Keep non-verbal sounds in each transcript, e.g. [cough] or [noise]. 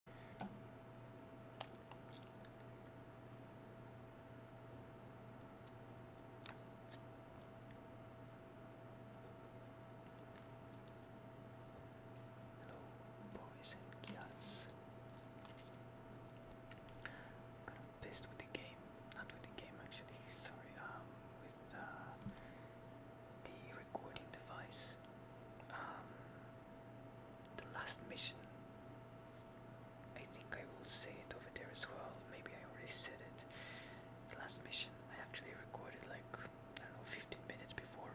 Hello, boys and girls. I'm kind of pissed with the game, not with the game actually. Sorry, um, with uh, the recording device. Um, the last mission. I think I will say it over there as well. Maybe I already said it. The last mission I actually recorded like I don't know 15 minutes before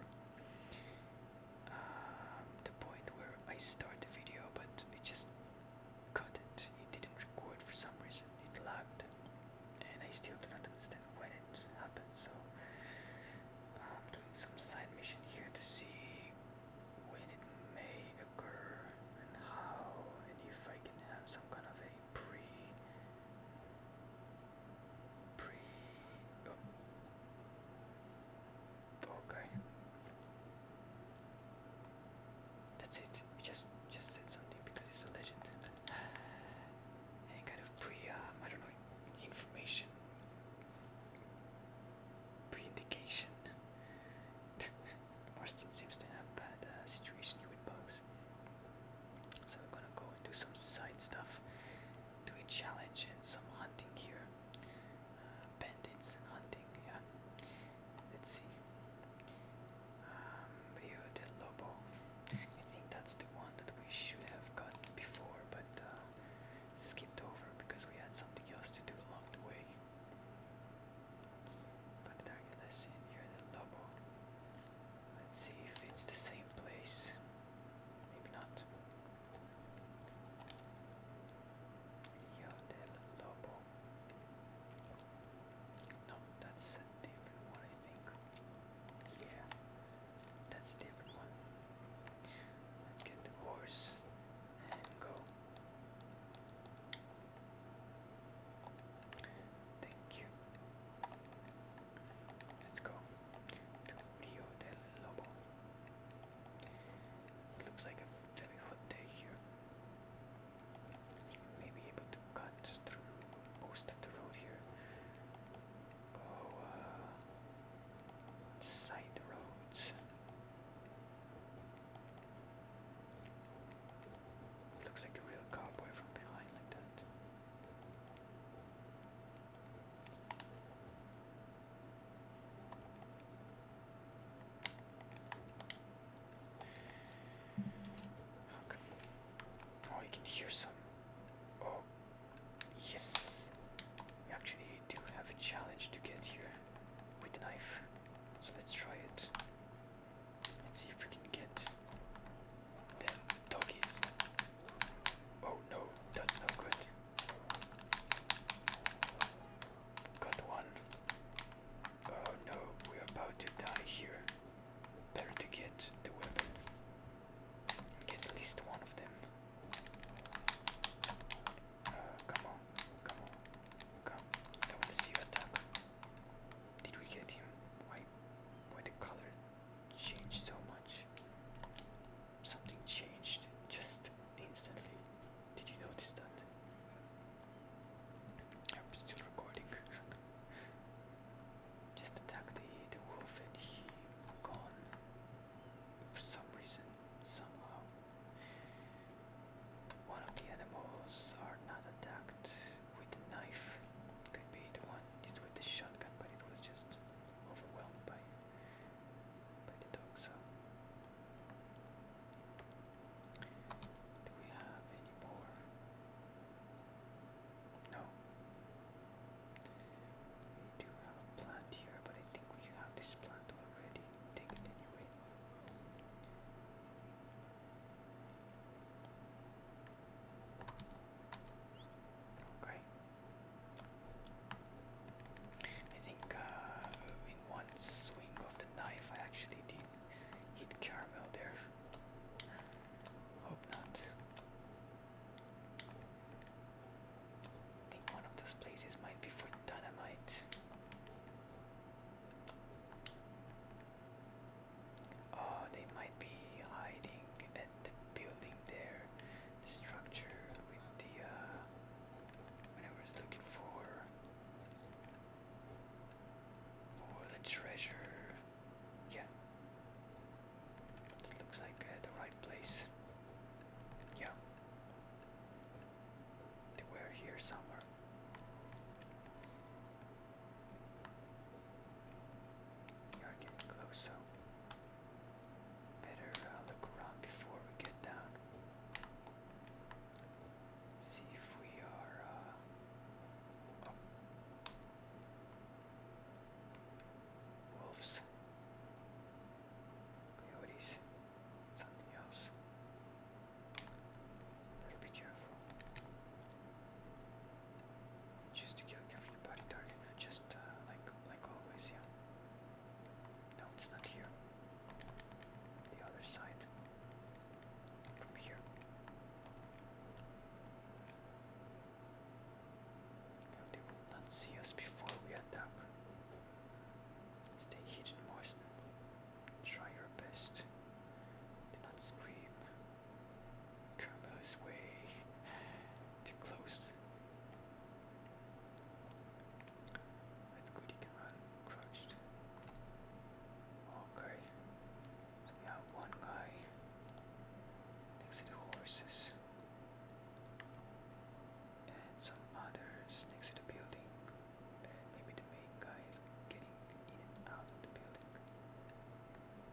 um, the point where I start the video, but it just cut it. It didn't record for some reason. It lagged, and I still do not understand when it happened. So. Um, some side mission here to see when it may occur and how, and if I can have some kind of a pre, pre, oh, okay. That's it. You just just said something because it's a legend. Any kind of pre, um, I don't know, information pre-indication. Marston [laughs] seems to have bad uh, situation here with bugs. So we're gonna go and do some side stuff, do a challenge and some hunting here. Uh, bandits hunting, yeah. Let's see. Um, Rio del Lobo. I think that's the one that we should have got before, but uh, skipped over because we had something else to do along the way. Planetary lesson, you're the Lobo. Let's see if it's the same place. Maybe not. Yo del Lobo. No, that's a different one, I think. Yeah. That's a different one. Let's get the and go. Thank you. Let's go to Rio del Lobo. It looks like a very hot day here. May able to cut through most of the road here. Go uh, Side roads. It looks like a real cowboy from behind like that. Oh, you can hear some. Oh, Yes. We actually do have a challenge to get here with the knife. So let's try it. Let's see if we can get them doggies. Oh no, that's no good. Got one. Oh no, we're about to die here. Better to get to. weapon. Get at least one of them. Uh, come on, come on, come. I want see you attack. Did we get him? Why, why the color changed so much? Something changed just instantly. Did you notice that? I'm still recording. [laughs] Just attack the the wolf and he gone for some reason, somehow. One of the animals are not attacked with the knife. Could be the one is with the shotgun, but it was just overwhelmed by by the dog. So, do we have any more? No. We do have a plant here, but I think we have this plant already. Take anyway. Okay. I think uh, in one swing of the knife, I actually did hit caramel there. Hope not. I think one of those places might be for dynamite. Oh, they might be hiding at the building there, the structure with the uh, whatever it's looking for, or the treasure. Yeah, that looks like uh, the right place. Yeah. They were here somewhere. We are getting close, better uh, look around before we get down. See if we are. Uh, oh wolves, coyotes, something else. be careful. Choose to careful body just uh, like like always, yeah. No, it's not here. The other side. From here. They will not see us before we attack. Stay hidden, Moisten. Try your best. Do not scream. Caramel is way too close. That's good, he can run. Crouched. Okay. So we have one guy next to the horses and some others next to the building. And maybe the main guy is getting in and out of the building.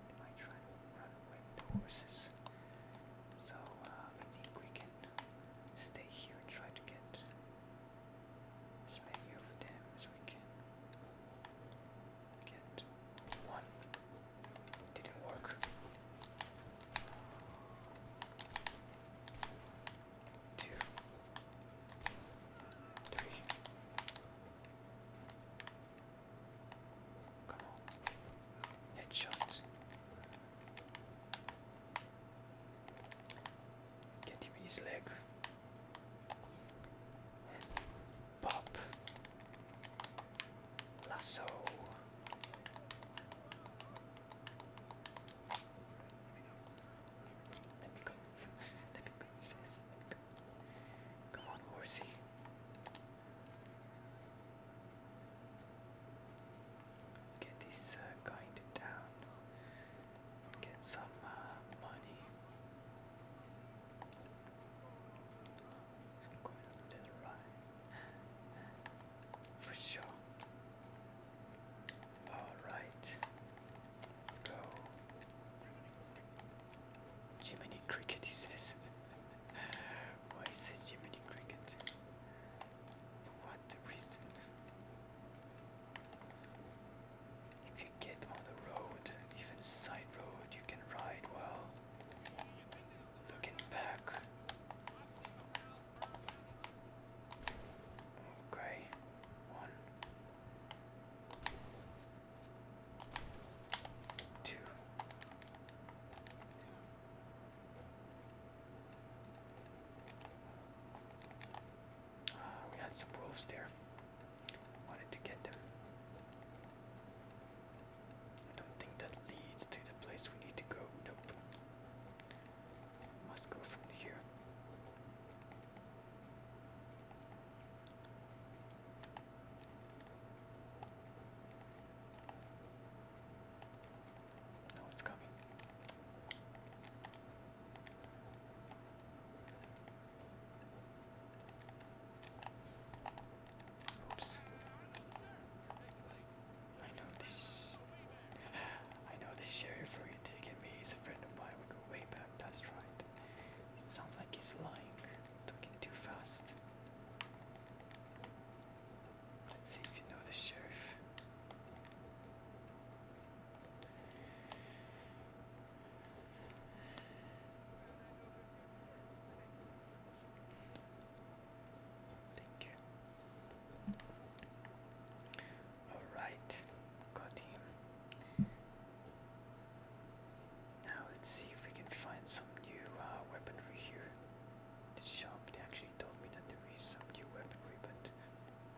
They might try to run away with the horses. So uh, I think we can stay here and try to get as many of them as we can. Get one. Didn't work. Two, three. Come on. Headshot. Get him in his leg. pop. Lasso. Let me go. Let [laughs] me go, Come on, horsey. Let's get this guy uh, into Get some uh, money. I'm going on a ride. For sure. Alright. Let's go. Jiminy Cricket, he says. [laughs] Why is it Jiminy Cricket? For what reason? If you get on the road, even side road, you can ride well. Looking back. Okay, one, two. Uh, we had some wolves there. Wanted to get them. I don't think that leads to the place we need to go. Nope. must go from here. No, it's coming. Oops. I know this. I know the sheriff for you taking me He's a friend of mine. We go way back. That's right. sounds like he's lying, talking too fast. Let's see if you know the sheriff. Thank you. Alright, got him. Now let's see if we can find some new uh, weaponry here. The shop, they actually told me that there is some new weaponry, but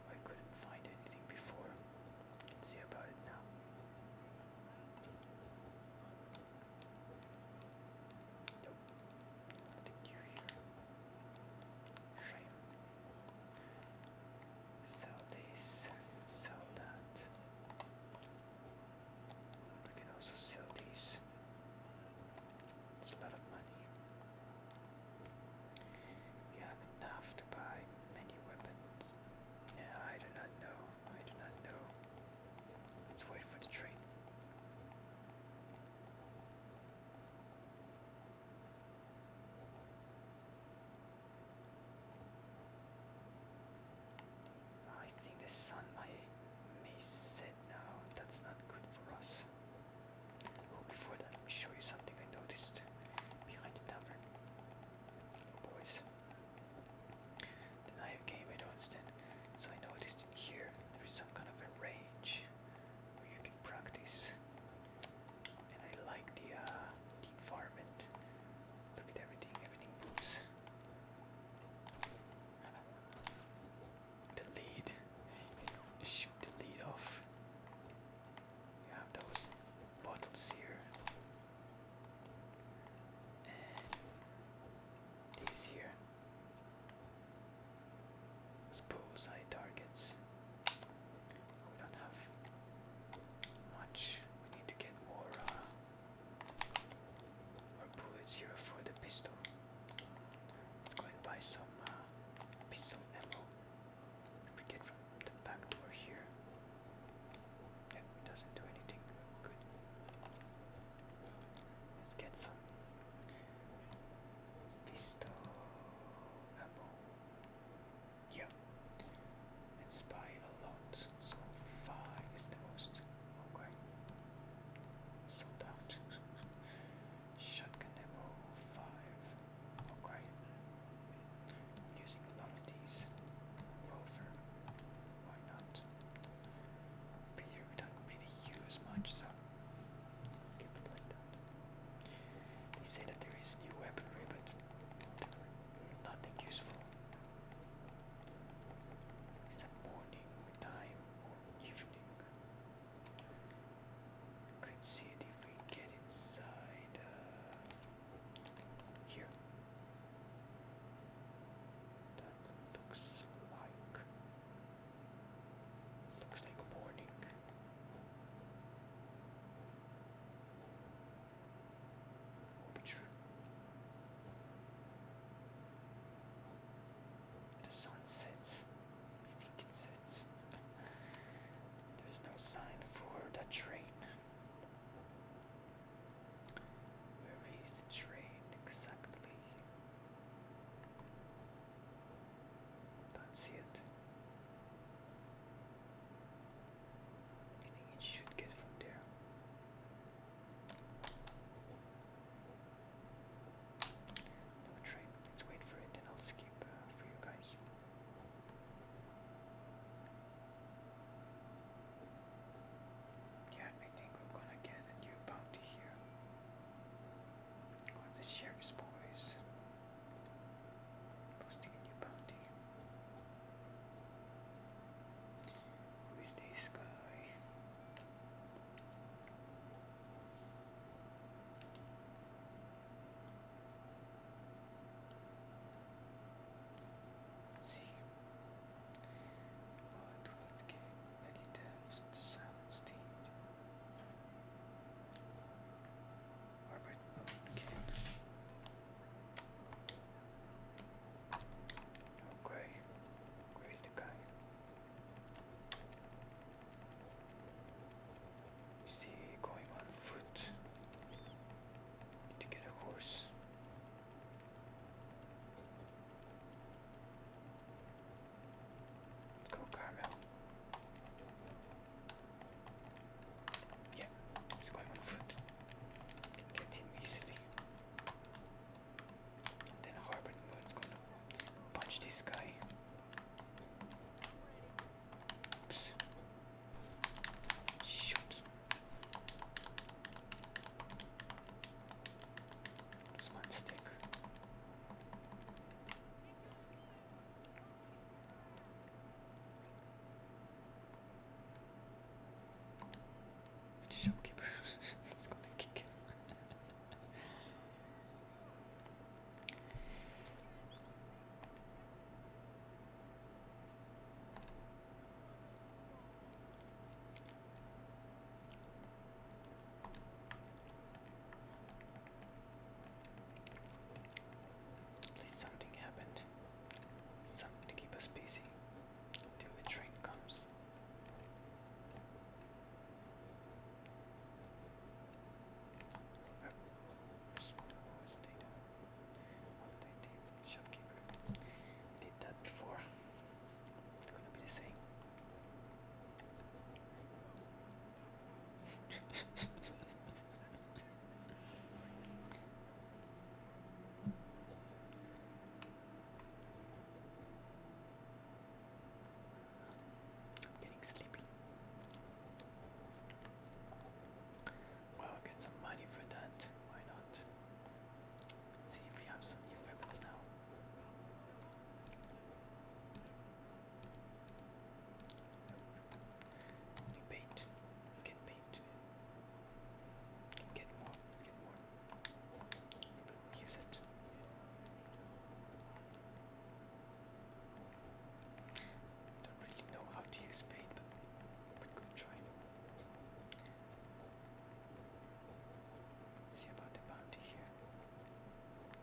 I couldn't find anything before. Let's see about it now. Sell this, sell that. We can also sell these. It's a lot of money. We have enough to buy many weapons. I do not know. I do not know. Let's wait for the train. Oh, I think the sun might may set now. That's not good for us. Oh, before that, let me show you something I noticed behind the tavern. boys. The knife game I don't So I noticed here, there is some kind of a range where you can practice. And I like the, uh, the environment. Look at everything, everything moves. The shoot the lead off. You have those bottles here. And these here. Those bullseye targets. We don't have much. We need to get more uh, more bullets here for the pistol. Let's go and buy some uh, pistol ammo. We get from the back door here. Yeah, doesn't do anything. Good. Let's get some pistol ammo. Yeah, let's a lot. So five is the most. Okay, sold out. Shotgun ammo five. Okay, using a lot of these. Rover, why not? we don't really use much, so they say that there is new weaponry, but nothing useful. Is morning time evening? Could see if we get inside uh, here. That looks like Looks like morning. Will true. The sun sets. I think it sets. [laughs] There's no sign for the train. Where is the train exactly? Don't see it. I think it should get from there. No train. Let's wait for it, and I'll skip uh, for you guys. Yeah, I think we're gonna get a new bounty here. Or the sheriff's boys posting a new bounty. Who is this guy? see. What would get that he tells Robert Owen Okay, where oh, is the guy? Is he going on foot to get a horse? Let's go Carmel. Yeah, he's going on foot. Get him easily. then Harbert Moon's gonna punch this guy. Oops. Shoot. That's mistake. The shopkeeper is [laughs] gonna kick him something happened. Something to keep us busy until the train comes. Oh, shopkeeper did that before. It's gonna be the same. I'm [laughs] getting sleepy. I'll get some money for that. Why not? see if we have some new weapons now. Paint. Let's get paint. Get more. Let's get more. Use it. Don't really know how to use paint, but but good try. see about the bounty here. If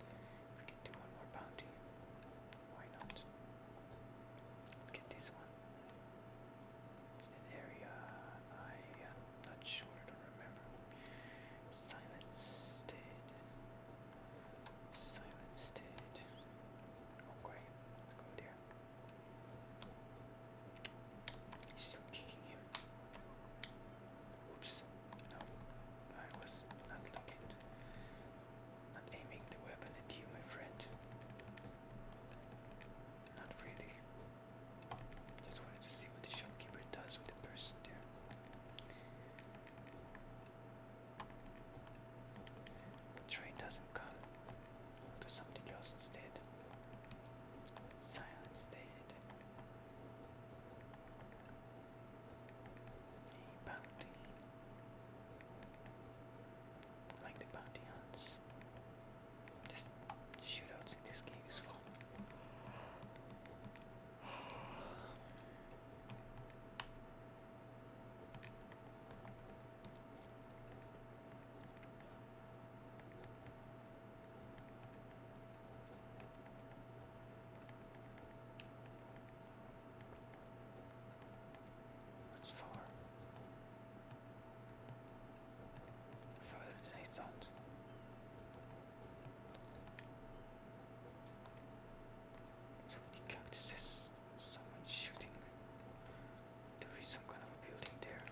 we can do one more bounty, why not? Let's get this one. It's an area I am uh, not sure, I remember. Silence did. Silence did. Okay, let's go there. He's still kicking him. Oops. No, I was not looking, not aiming the weapon at you, my friend. Not really. Just wanted to see what the shopkeeper does with the person there. The train doesn't come. I'll do something else instead. Silence day. A bounty. Like the bounty hunts. Just shootouts in this game is fun. That's four. Further than I thought. So many cactuses. Someone shooting. There is some kind of a building there.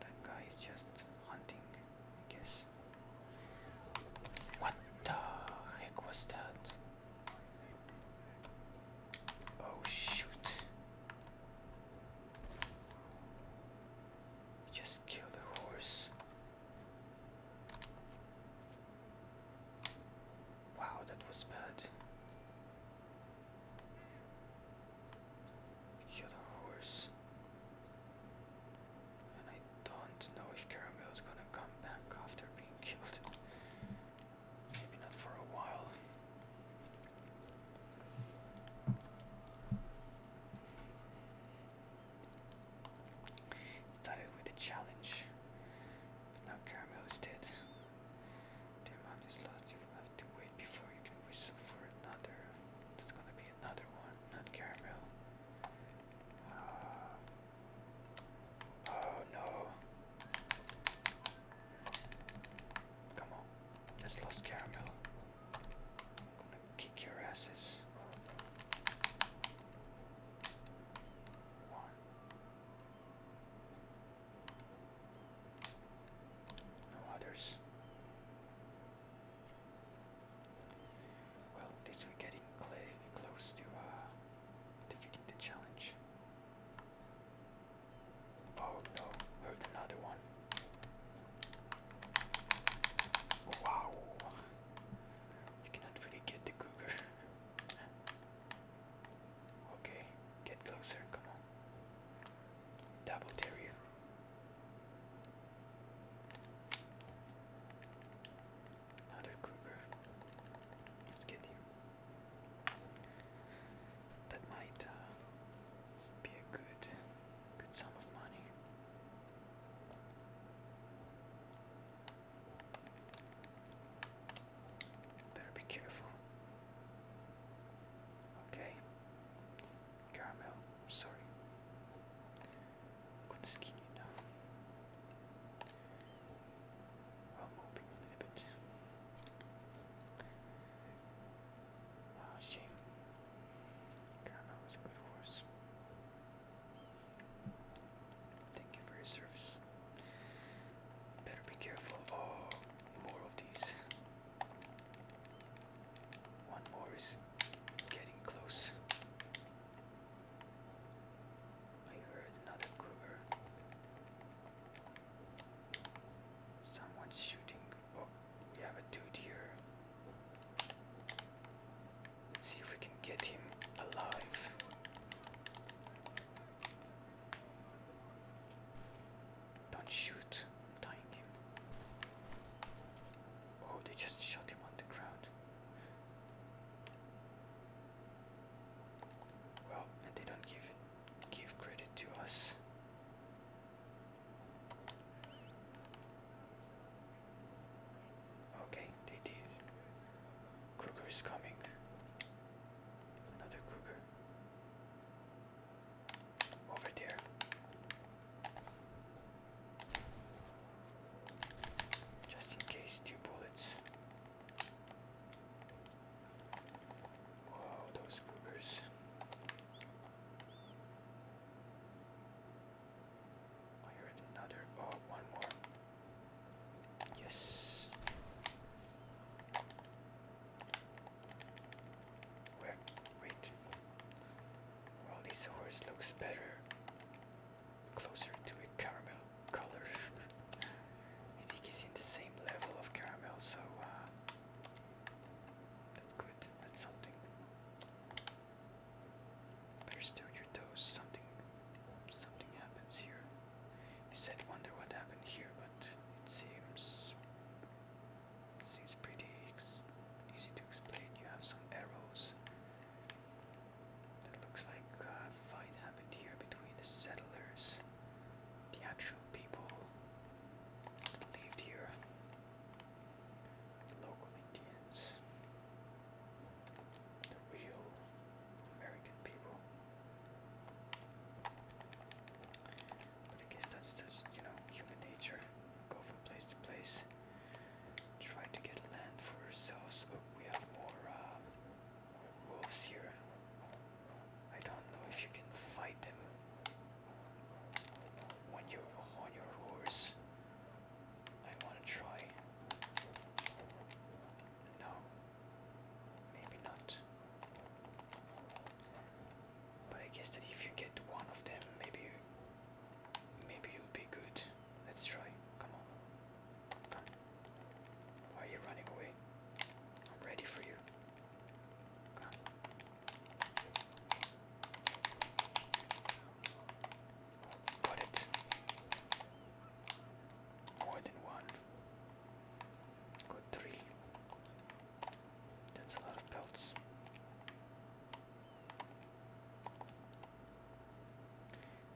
That guy is just hunting, I guess. What the heck was that? Oh shoot. Just killed a horse. Wow, that was bad. Heal the horse. And I don't know if Caramel is gonna come back after being killed. Maybe not for a while. Started with a challenge, but now Caramel is dead. The amount is lost, you have to wait before you can whistle for another. That's gonna be another one, not caramel. Uh, oh no. Come on, let lost caramel. gonna kick your asses. One. No others. Well, at we're getting close to uh, defeating the challenge. Oh no, heard another one. Wow, you cannot really get the cougar. [laughs] okay, get closer, come on. Double dare Another cougar. Let's get him. That might uh, be a good, good sum of money. Better be careful. Okay. Caramel, sorry. I'm gonna skin you now. I'm hoping a little bit. Ah, shame. Caramel was a good horse. Thank you for your service. Better be careful. Oh, more of these. One more is getting close. I heard another cougar. Someone's shooting. Oh, we have a dude here. Let's see if we can get him alive. Don't shoot tying him. Oh, they just shot him on the ground. Well, and they don't give give credit to us. Okay, they did. Cougar is coming. Another cougar over there. Just in case, two bullets. Whoa, those cougars. I heard another. Oh, one more. Yes. Where? Wait. Rolly's horse looks better. Closer to a caramel color. I think he's in the same level of caramel, so uh, that's good. That's something. Better still your toes. Something, something happens here. I said wonder what happened here, but it seems Seems pretty easy to explain. You have some arrows. That looks like a fight happened here between the settlers, the actual people that lived here, the local Indians, the real American people. But I guess that's just, you know, human nature. Go from place to place. Try to get land for ourselves. Oh, we have more uh, wolves here. I don't know if you can fight them when you're on your horse. I want to try. No, maybe not. But I guess that if you get one of them, maybe Maybe you'll be good. Let's try. Come on. Why are you running away? I'm ready for you. Come. Got it. More than one. Got three. That's a lot of pelts.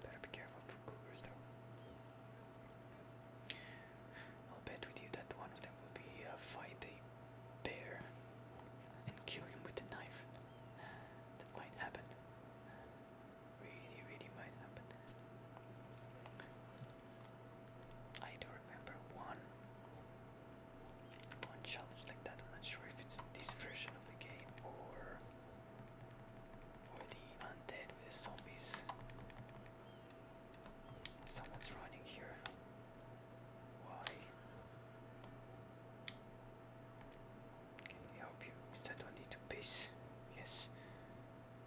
Better be careful for cougars though. I'll bet with you that one of them will be uh, fight a bear and kill him with a knife. That might happen. Really, really might happen. I do remember one one like that. I'm not sure if it's this version of the game or or the undead with zombies. Someone's running here. Why? Can we help you? Is that only to piss? Yes.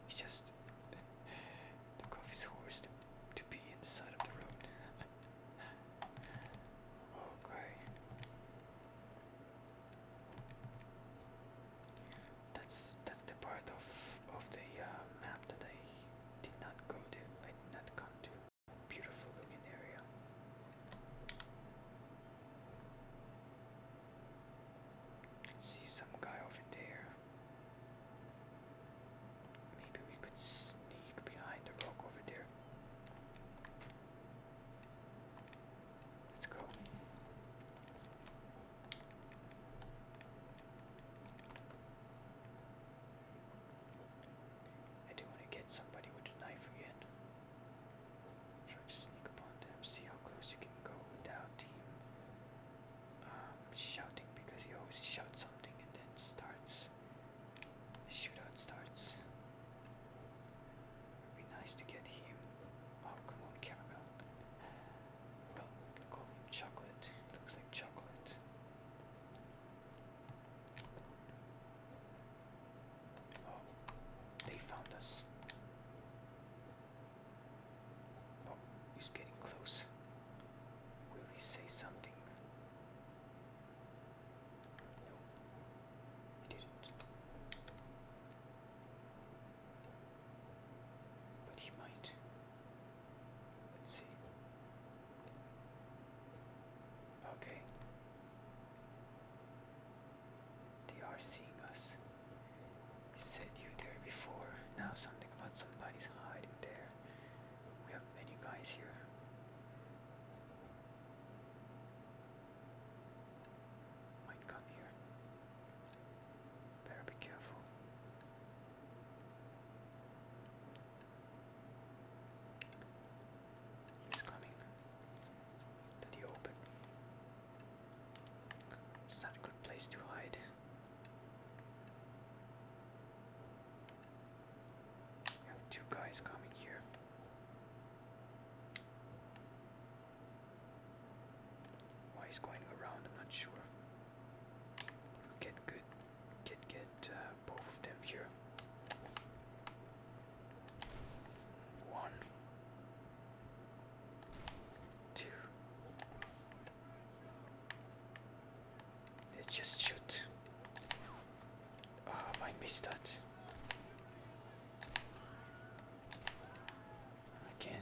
It's just uh, [sighs] the coffee's horse to, be inside the road. [laughs] Okay. Oh, that's that's the part of of the uh, map that I did not go to. I did not come to. Beautiful looking area. See some guy over there. Maybe we could sneak behind the rock over there. Let's go. I do want to get somebody with a knife again. Try to sneak upon them, see how close you can go without him um, shouting because he always shouts something and then starts the shootout starts. It would be nice to get him. Oh, come on, caramel. Well, call him chocolate. looks like chocolate. Oh, they found us. Oh, he's getting close. Will say something? No, you didn't. But he might. Let's see. Okay. They are seeing us. We said you there before. Now something about somebody's hiding there. We have many guys here. Might come here. Better be careful. He's coming to the open. It's not a good place to hide. We have two guys coming here. Why he's going around, I'm not sure. get good, get get uh, both of them here. One, two, Let's just shoot. Oh, I missed that. Again,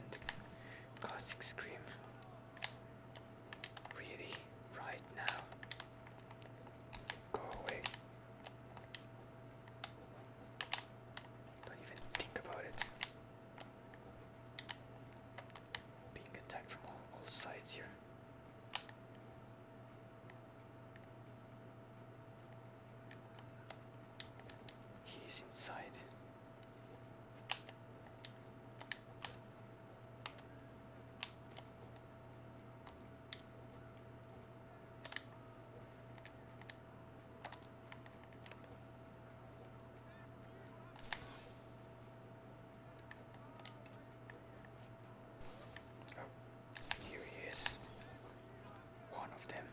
classic scream. Really, right now. Go away. Don't even think about it. Being attacked from all sides here. He's inside. Oh, here he is. One of them.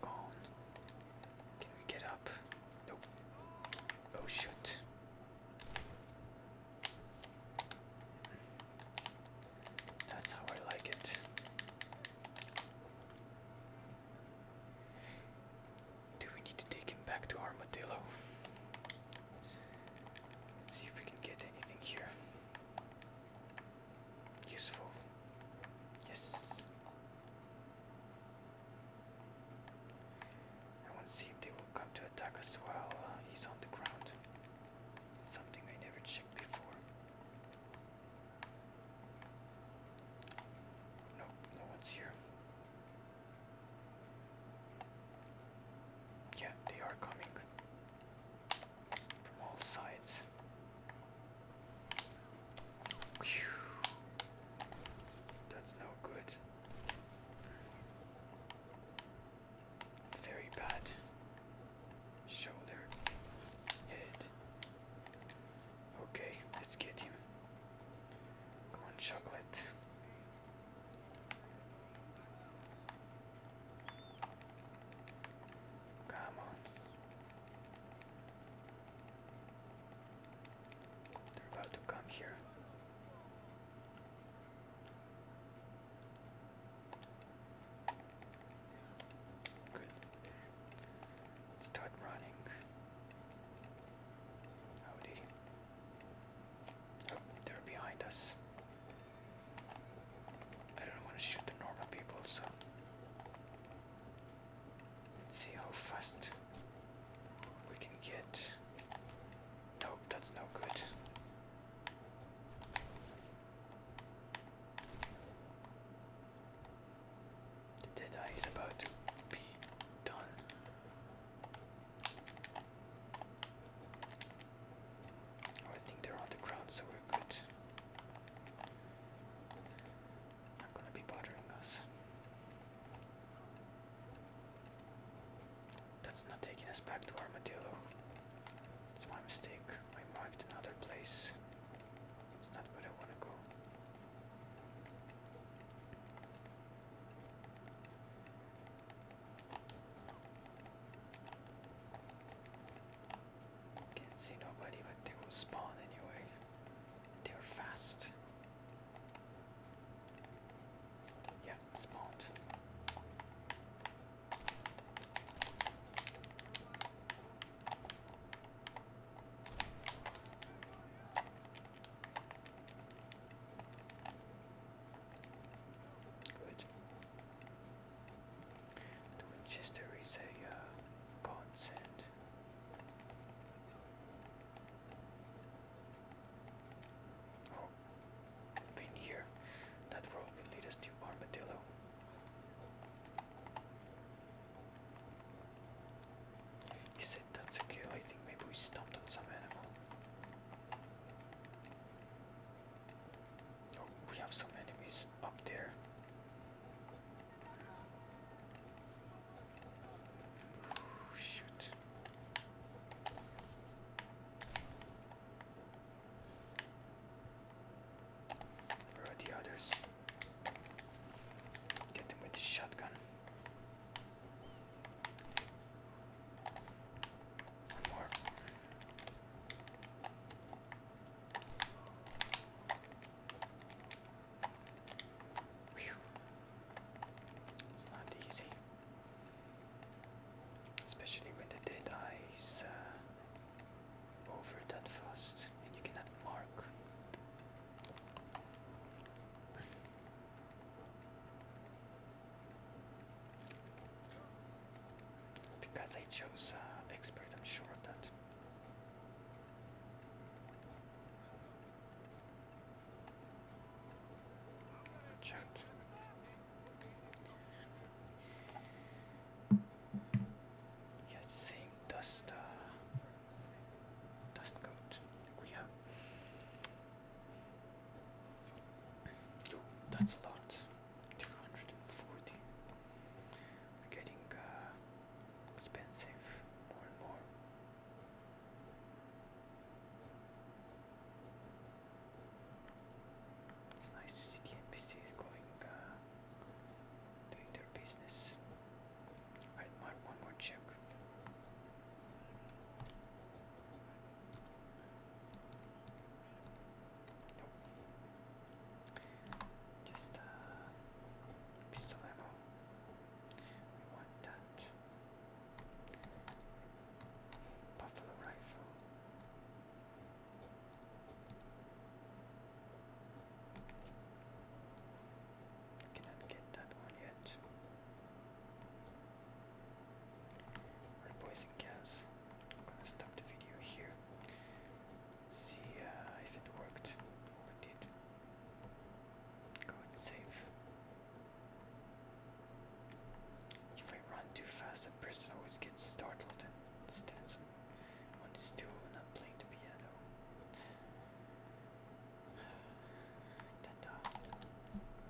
Gone. Can we get up? Nope. Oh shoot. That's how I like it. Do we need to take him back to Armadillo? Let's see if we can get anything here. Useful. Yes. I want to see if they will come to attack us Well, uh, he's on the ground. Something I never checked before. Nope, no one's here. Yeah, they are coming from all sides. That's no good. Very bad. Shoulder. Head. Okay, let's get him. Come on, chocolate. Come on. They're about to come here. Good. Start running. Howdy they're behind us. I don't want to shoot the normal people, so let's see how fast we can get. Nope, that's no good. The Deadeye is about to be done. Oh, I think they're on the ground, so we're good. Not gonna be bothering us. That's not taking us back to Armadillo. It's my mistake. I marked another place. It's not where I want to go. Can't see nobody, but they will spawn anyway. They are fast. Yeah, spawned. Good. The Winchester is a uh, consent. Oh, here. That road will us to Armadillo. He said that's a kill. I think maybe we stomped on some animal. Oh, we have some enemies up there. Ooh, shoot. Where are the others? Get them with the shotgun. One It's not easy. Especially when the dead eyes uh, over that fast and you cannot mark. Because I chose uh, expert, I'm sure of that. Check. Yes, same dust, uh, dust coat we have that's a lot. 240. We're getting uh, expensive more and more. It's nice to see the going, uh, doing their business. Alright, one more check. Just uh, pistol ammo. We that. Buffalo rifle. I cannot get that one yet. Red poison gas. I'm gonna stop the video here. See uh, if it worked or it did. Go and save. If I run too fast, a person always gets startled and stands on his stool and not playing the piano. [sighs] Ta -ta.